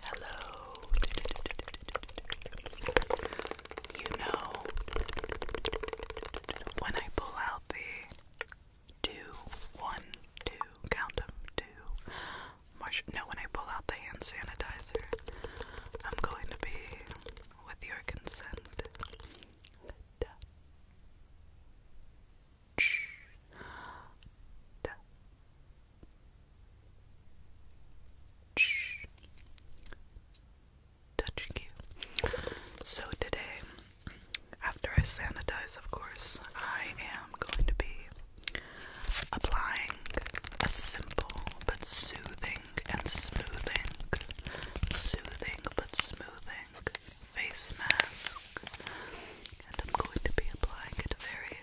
Hello. You know, when I pull out the two, one, two, count them, two, No, when I pull out the hand sanitizer, I'm going to be, with your consent, touching you. So today, after I sanitize, of course, I am going to be applying a simple but soothing and smoothing, soothing but smoothing face mask. And I'm going to be applying it very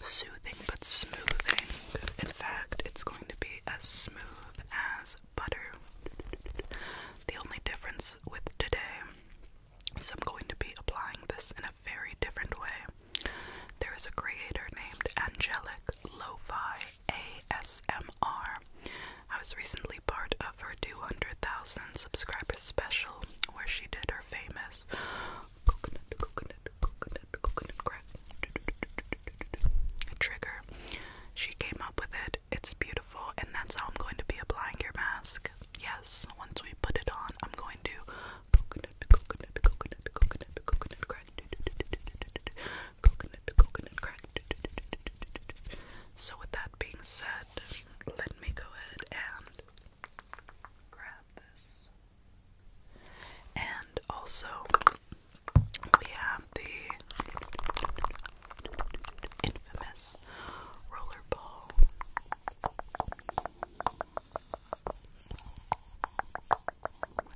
soothing but smoothing. In fact, it's going to be as smooth as butter. The only difference with today is I'm going to be applying this in a very different way. There is a creator named Angelic Lo-Fi ASMR. was recently part of her 200,000 subscribers special where she did her famous coconut, trigger. She came up with it. It's beautiful, and that's how I'm going to be applying your mask. Yes, once we put it on, I'm going to coconut, coconut, coconut, coconut, coconut crack, coconut, coconut crack. So, with that being said, let me go ahead and grab this. And also, we have the infamous roller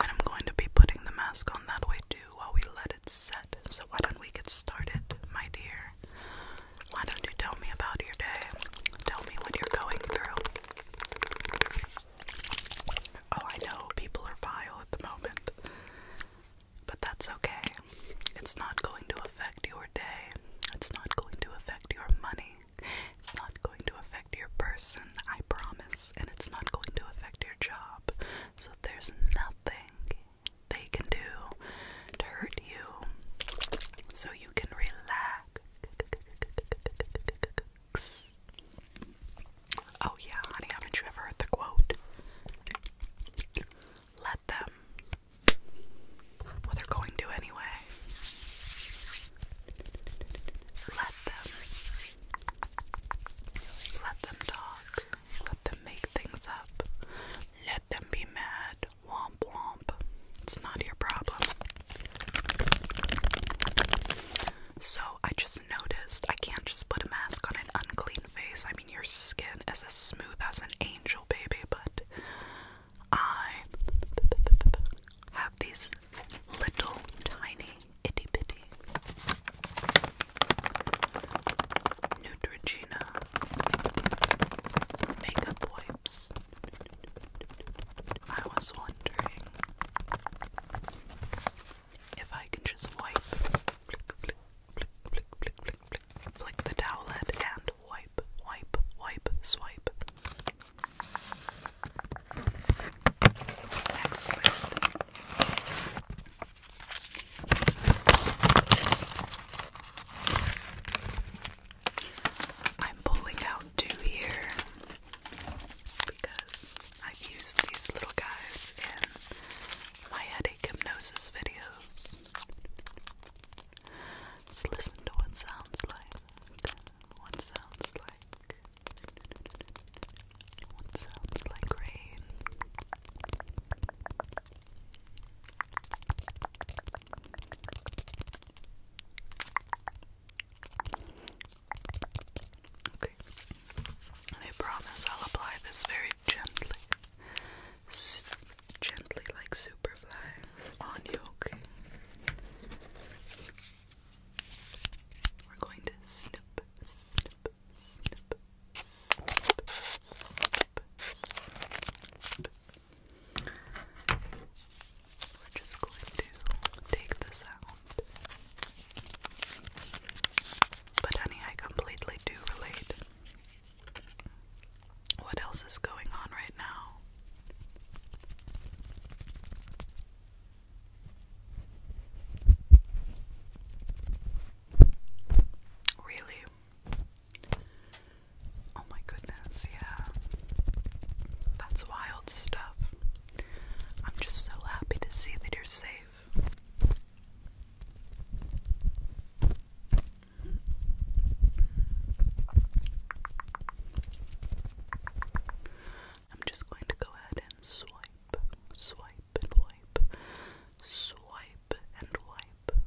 And I'm going to be putting the mask on that way too while we let it set. So, why don't we get started, my dear? Why don't you tell me about your day? Tell me what you're going through. Oh, I know people are vile at the moment, but that's okay. It's not going to affect your day, it's not going to affect your money, it's not going to affect your person, I promise, and it's not going to affect your job. So there's nothing they can do to hurt you, so you can relax. Oh, yeah, honey, haven't you ever heard the quote? Let them. Well, they're going to anyway. Let them. Let them talk. Let them make things up. Let them be mad. Womp womp. It's not your problem. So I just noticed I can't just put a mask on an unclean face. I mean, your skin is as smooth as an angel, baby, but I have these little tiny itty bitty Neutrogena makeup wipes. I was wondering if I can just wipe, flick, flick, flick, flick, flick, flick, flick, the towelette and wipe, wipe, wipe, swipe. I'm pulling out two here because I've used these little guys in my hypnosis videos. Let's listen to what sounds like. What sounds like. What sounds like rain. I promise I'll apply this very gently. gently like Superfly on you, We're going to snip, snip, snip, snip, snip, snip, we're just going to take this out. But honey, I completely do relate. What else is going on right now? Really? Oh my goodness, yeah. That's wild stuff. I'm just so happy to see that you're safe. I'm just going to go ahead and swipe, swipe and wipe, swipe and wipe,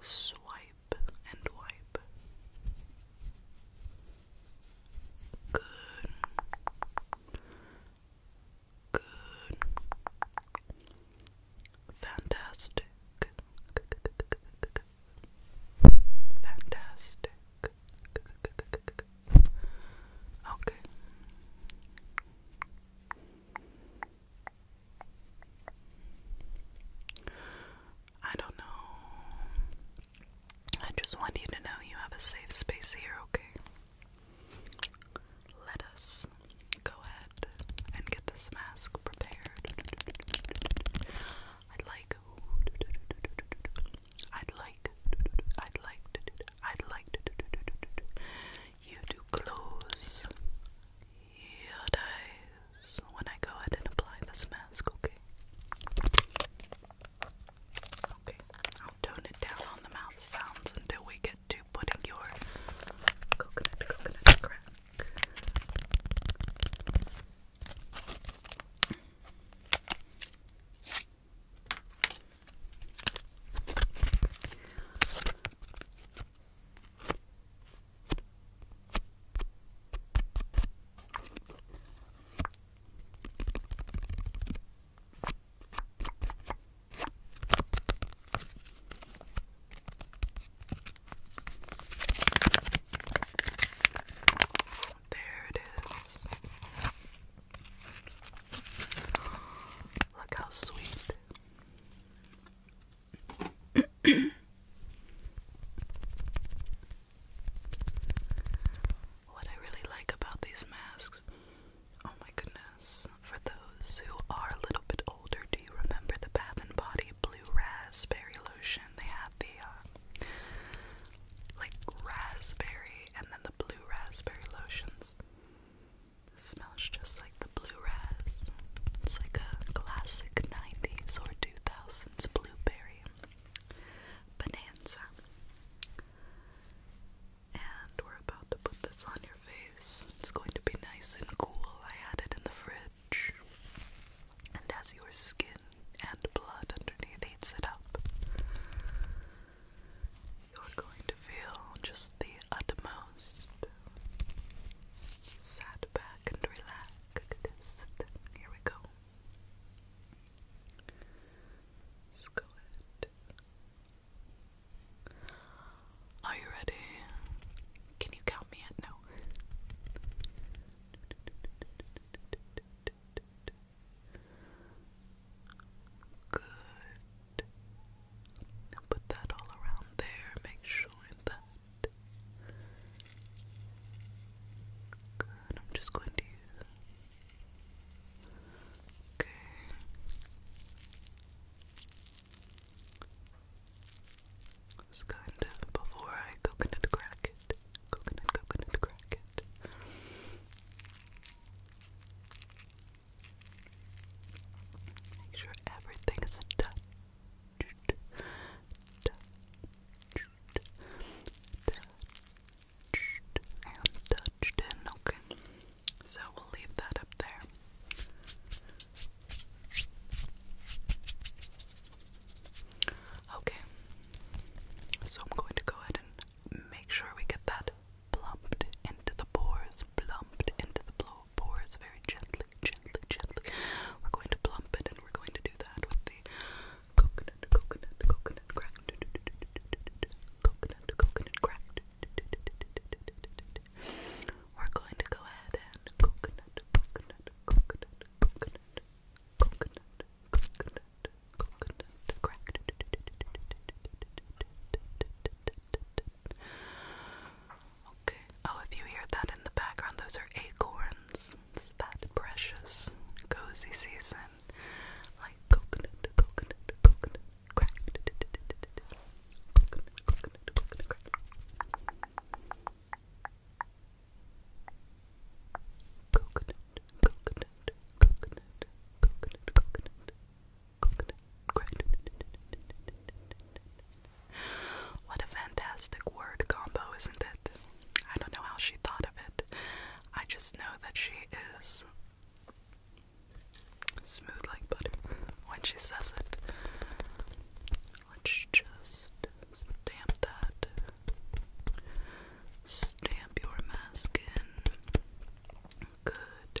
swipe wipe and wipe. Good. Good. Fantastic. Fantastic. Okay. I don't know. I just want you to know you have a safe space here, okay? Let us go ahead and get this mask prepared. I'd like. I'd like. I'd like to do. I'd like to do. You to close your eyes when I go ahead and apply this mask, okay? Okay, I'll tone it down on the mouth sounds until we get to putting your coconut, coconut crack. There it is. Look how sweet. what I really like about these masks, oh my goodness, for those who are a little bit older, do you remember the Bath and Body Blue Raspberry Lotion? They had the uh, like raspberry and then the blue raspberry lotions. This smells just like the blue ras. It's like a classic 90s or 2000s blueberry bonanza. And we're about to put this on your face. It's going to be nice and cool. I had it in the fridge. And as your skin and blood underneath heats it up, you're going to feel just the utmost. Sat back and relaxed. Here we go. Just go Are you ready? Can you count me at no? Good. And put that all around there, make sure that. Good, I'm just going to Okay. Just kind of before I coconut crack it. Coconut, coconut, crack it. Make sure everything is touched. Touched. Touched. And Okay. So we'll leave that up there. Okay. So I'm going to go ahead and make sure we get that plumped into the pores, plumped into the blow pores very gently, gently, gently. We're going to plump it and we're going to do that with the coconut, coconut, coconut crack. Coconut, coconut crack. We're going to go ahead and coconut, coconut, coconut, coconut, coconut, coconut, crack. Okay. Oh, if you hear that in the background, those are acorns. that precious, cozy season. Like coconut, coconut, coconut, Coconut, coconut, coconut, Coconut, coconut, coconut, coconut, what a fantastic word combo, isn't it? I don't know how she thought of it. I just know that she is smooth like butter when she says it. Let's just stamp that. Stamp your mask in. Good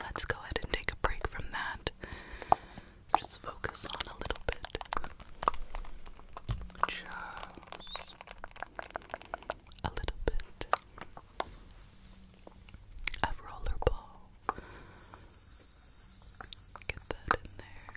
Let's go ahead and take a break from that. Just focus on a little bit. a little bit of rollerball. Get that in there.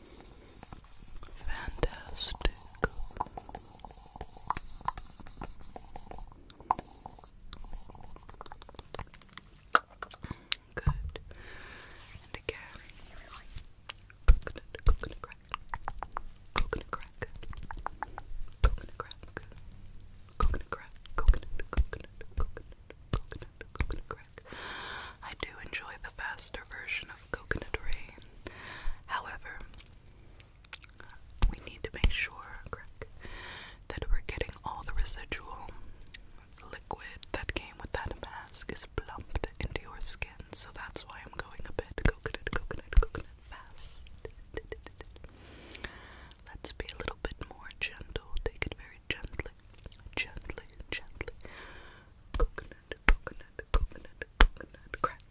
Fantastic. Good. And again, coconut, coconut crack, coconut crack, coconut crack, coconut crack, coconut, coconut, coconut, coconut, I do enjoy the faster version of coconut rain. However, we need to make sure, crack, that we're getting all the residual liquid that came with that mask is plumped into your skin. So that's why I'm going a bit coconut, coconut, coconut fast. Let's be a little bit more gentle. Take it very gently, gently, gently. Coconut, coconut, coconut, coconut, crack.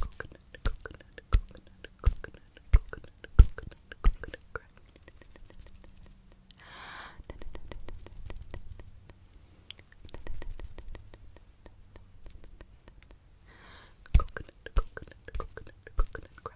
Coconut, coconut, coconut, coconut, coconut, coconut, coconut, crack. Coconut, coconut, coconut, coconut, crack.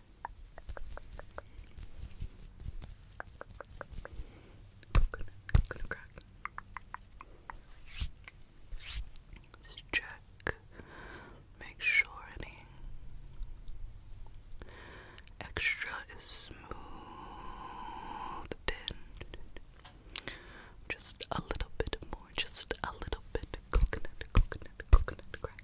Coconut, coconut crack. Just check, make sure any extra is smoothed in. Just a little bit more, just a little bit. Coconut, coconut, coconut crack.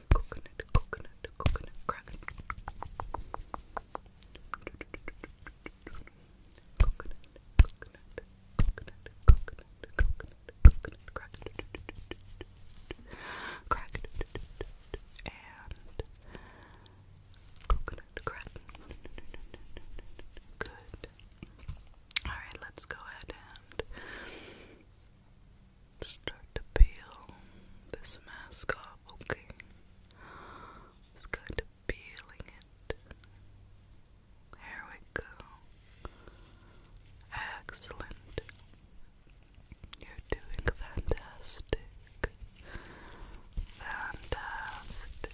coconut, coconut, coconut crackling. Coconut, coconut, coconut, coconut, coconut, coconut crack. Crack and coconut crack. Good. Alright, let's go ahead and Start to peel this mask off, okay? Just kind of peeling it. There we go. Excellent. You're doing fantastic. Fantastic.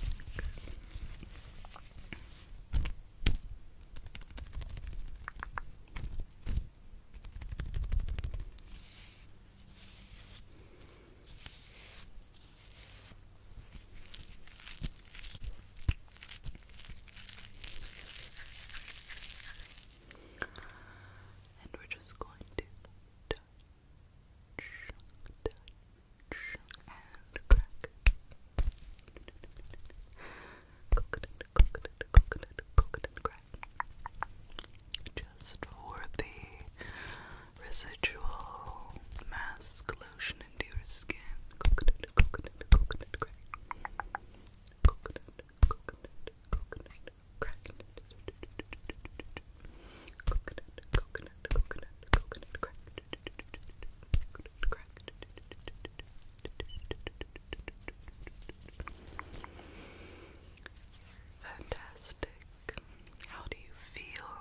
And we're just going to touch, touch, and crack. Coconut, coconut, coconut, coconut crack. Just for the residual mask lotion into your skin. Coconut, coconut, coconut crack. Coconut, coconut, coconut crack. Coconut, coconut, coconut, Coconut crack. Fantastic. How do you feel?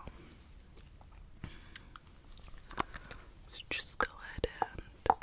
So just go ahead and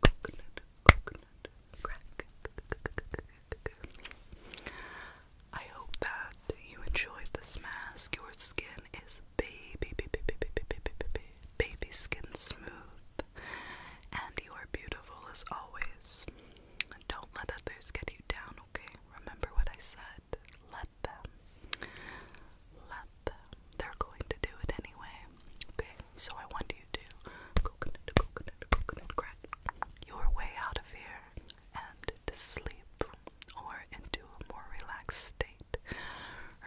coconut, coconut crack. I hope that you enjoyed this mask. Your skin is baby, baby, baby, baby, baby, baby skin smooth, and you are beautiful as always. Don't let others get you down, okay? Remember what I said. Let them let them. They're going to do it anyway. Okay, so I want you to coconut, coconut, coconut, crack your way out of here and to sleep or into a more relaxed state.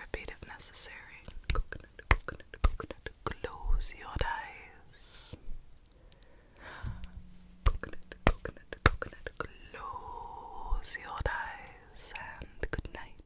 Repeat if necessary. Coconut, coconut, coconut. Close your eyes. Coconut, coconut, coconut. Close your eyes and good night.